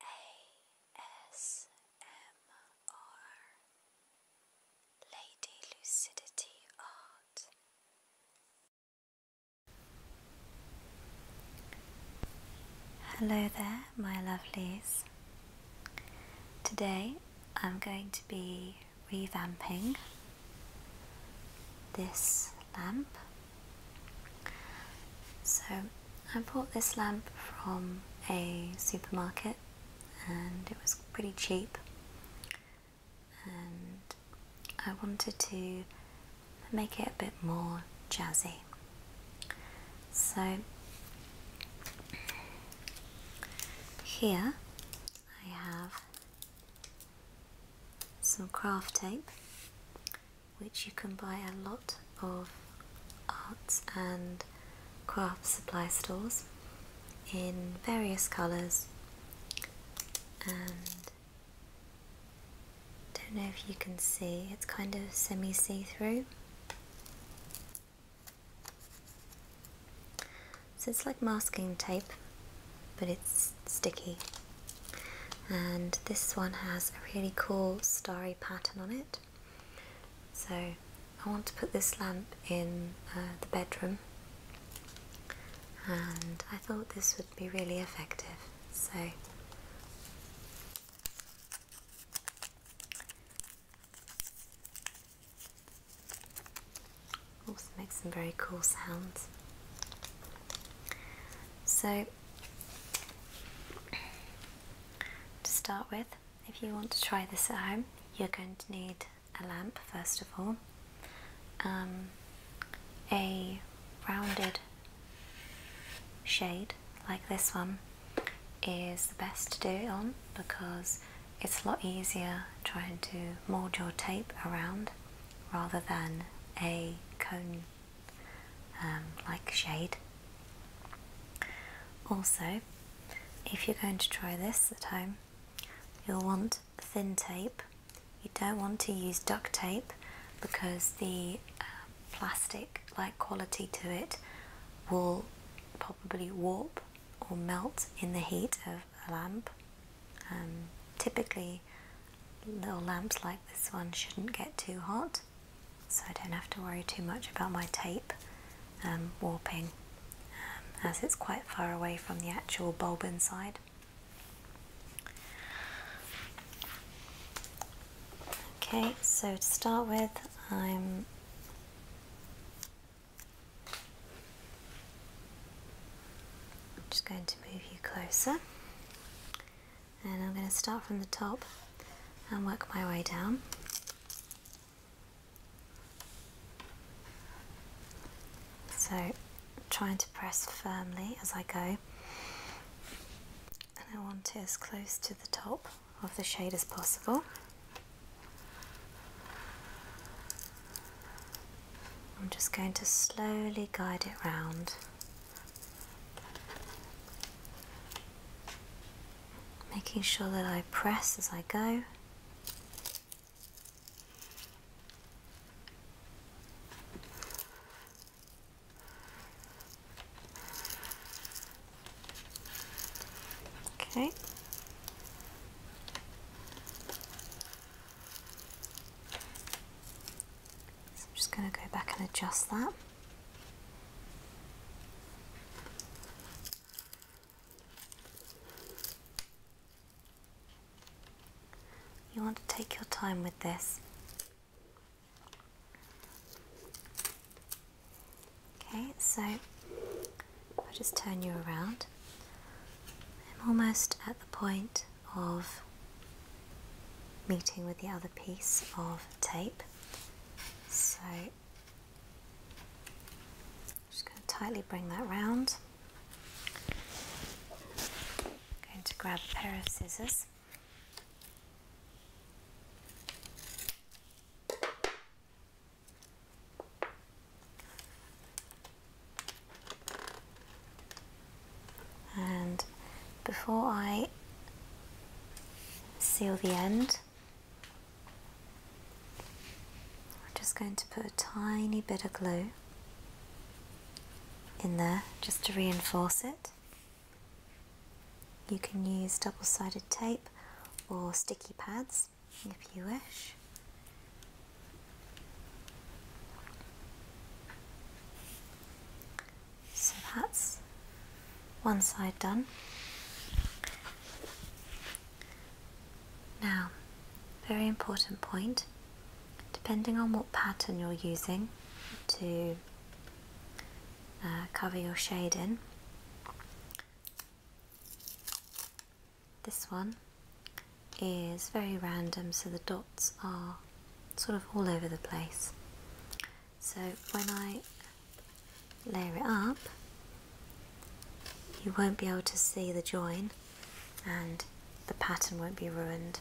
ASMR Lady Lucidity Art. Hello there, my lovelies. Today I'm going to be revamping this lamp so I bought this lamp from a supermarket and it was pretty cheap and I wanted to make it a bit more jazzy. So here I have some craft tape which you can buy a lot of arts and craft supply stores in various colours and don't know if you can see it's kind of semi see-through so it's like masking tape but it's sticky and this one has a really cool starry pattern on it. So I want to put this lamp in uh, the bedroom and I thought this would be really effective. So also makes some very cool sounds. So to start with, if you want to try this at home, you're going to need a lamp first of all, um, a rounded shade like this one is the best to do it on because it's a lot easier trying to mold your tape around rather than a cone um, like shade. Also, if you're going to try this at home, you'll want thin tape. You don't want to use duct tape because the uh, plastic like quality to it will probably warp or melt in the heat of a lamp. Um, typically, little lamps like this one shouldn't get too hot so I don't have to worry too much about my tape um, warping um, as it's quite far away from the actual bulb inside. Okay, so to start with, I'm just going to move you closer and I'm going to start from the top and work my way down. So trying to press firmly as I go and I want it as close to the top of the shade as possible. I'm just going to slowly guide it round Making sure that I press as I go. Okay. I'm just going to go back and adjust that. You want to take your time with this. Okay, so I'll just turn you around. I'm almost at the point of meeting with the other piece of tape. So I'm just going to tightly bring that round. going to grab a pair of scissors and before I seal the end I'm just going to put a tiny bit of glue in there just to reinforce it you can use double-sided tape or sticky pads if you wish so that's one side done. Now, very important point, depending on what pattern you're using to uh, cover your shade in, this one is very random so the are sort of all over the place. So when I layer it up, you won't be able to see the join and the pattern won't be ruined.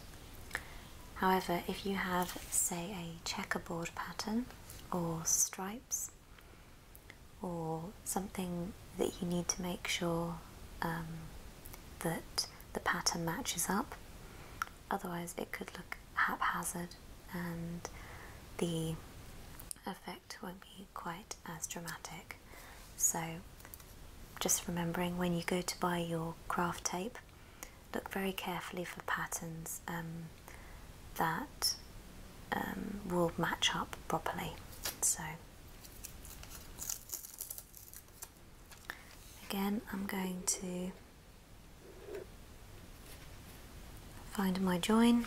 However, if you have, say, a checkerboard pattern or stripes or something that you need to make sure um, that the pattern matches up, Otherwise, it could look haphazard and the effect won't be quite as dramatic. So, just remembering when you go to buy your craft tape, look very carefully for patterns um, that um, will match up properly. So, Again, I'm going to find my join,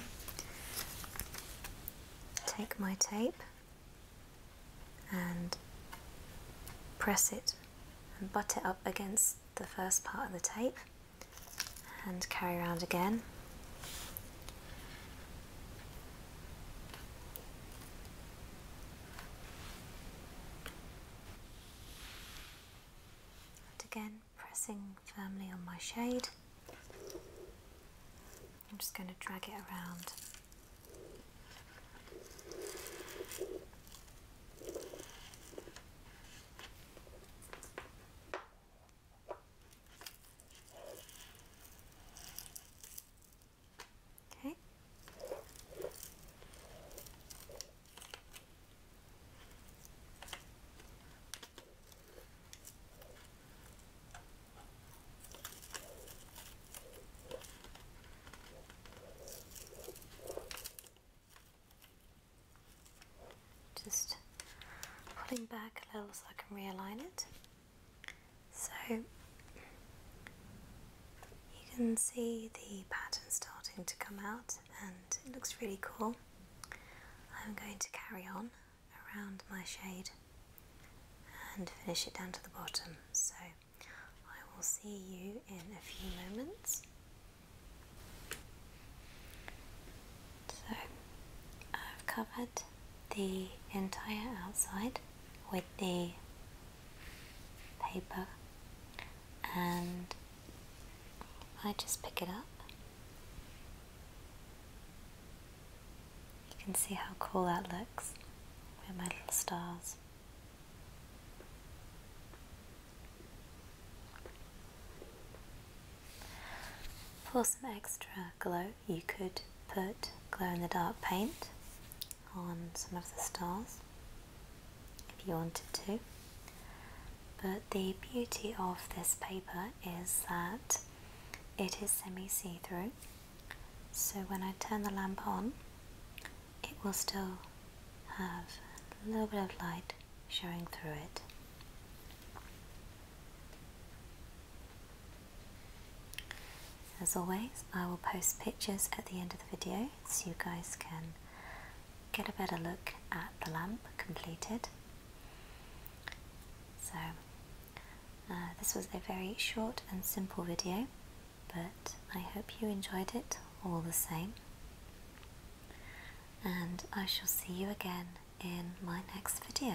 take my tape and press it and butt it up against the first part of the tape and carry around again. And again, pressing firmly on my shade, I'm just going to drag it around. Okay. Just pulling back a little so I can realign it. So you can see the pattern starting to come out and it looks really cool. I'm going to carry on around my shade and finish it down to the bottom. So I will see you in a few moments. So I've covered the entire outside with the paper and I just pick it up. You can see how cool that looks with my little stars. For some extra glow you could put glow in the dark paint on some of the stars if you wanted to. But the beauty of this paper is that it is semi-see-through. So when I turn the lamp on, it will still have a little bit of light showing through it. As always, I will post pictures at the end of the video so you guys can get a better look at the lamp completed. So uh, this was a very short and simple video but I hope you enjoyed it all the same and I shall see you again in my next video.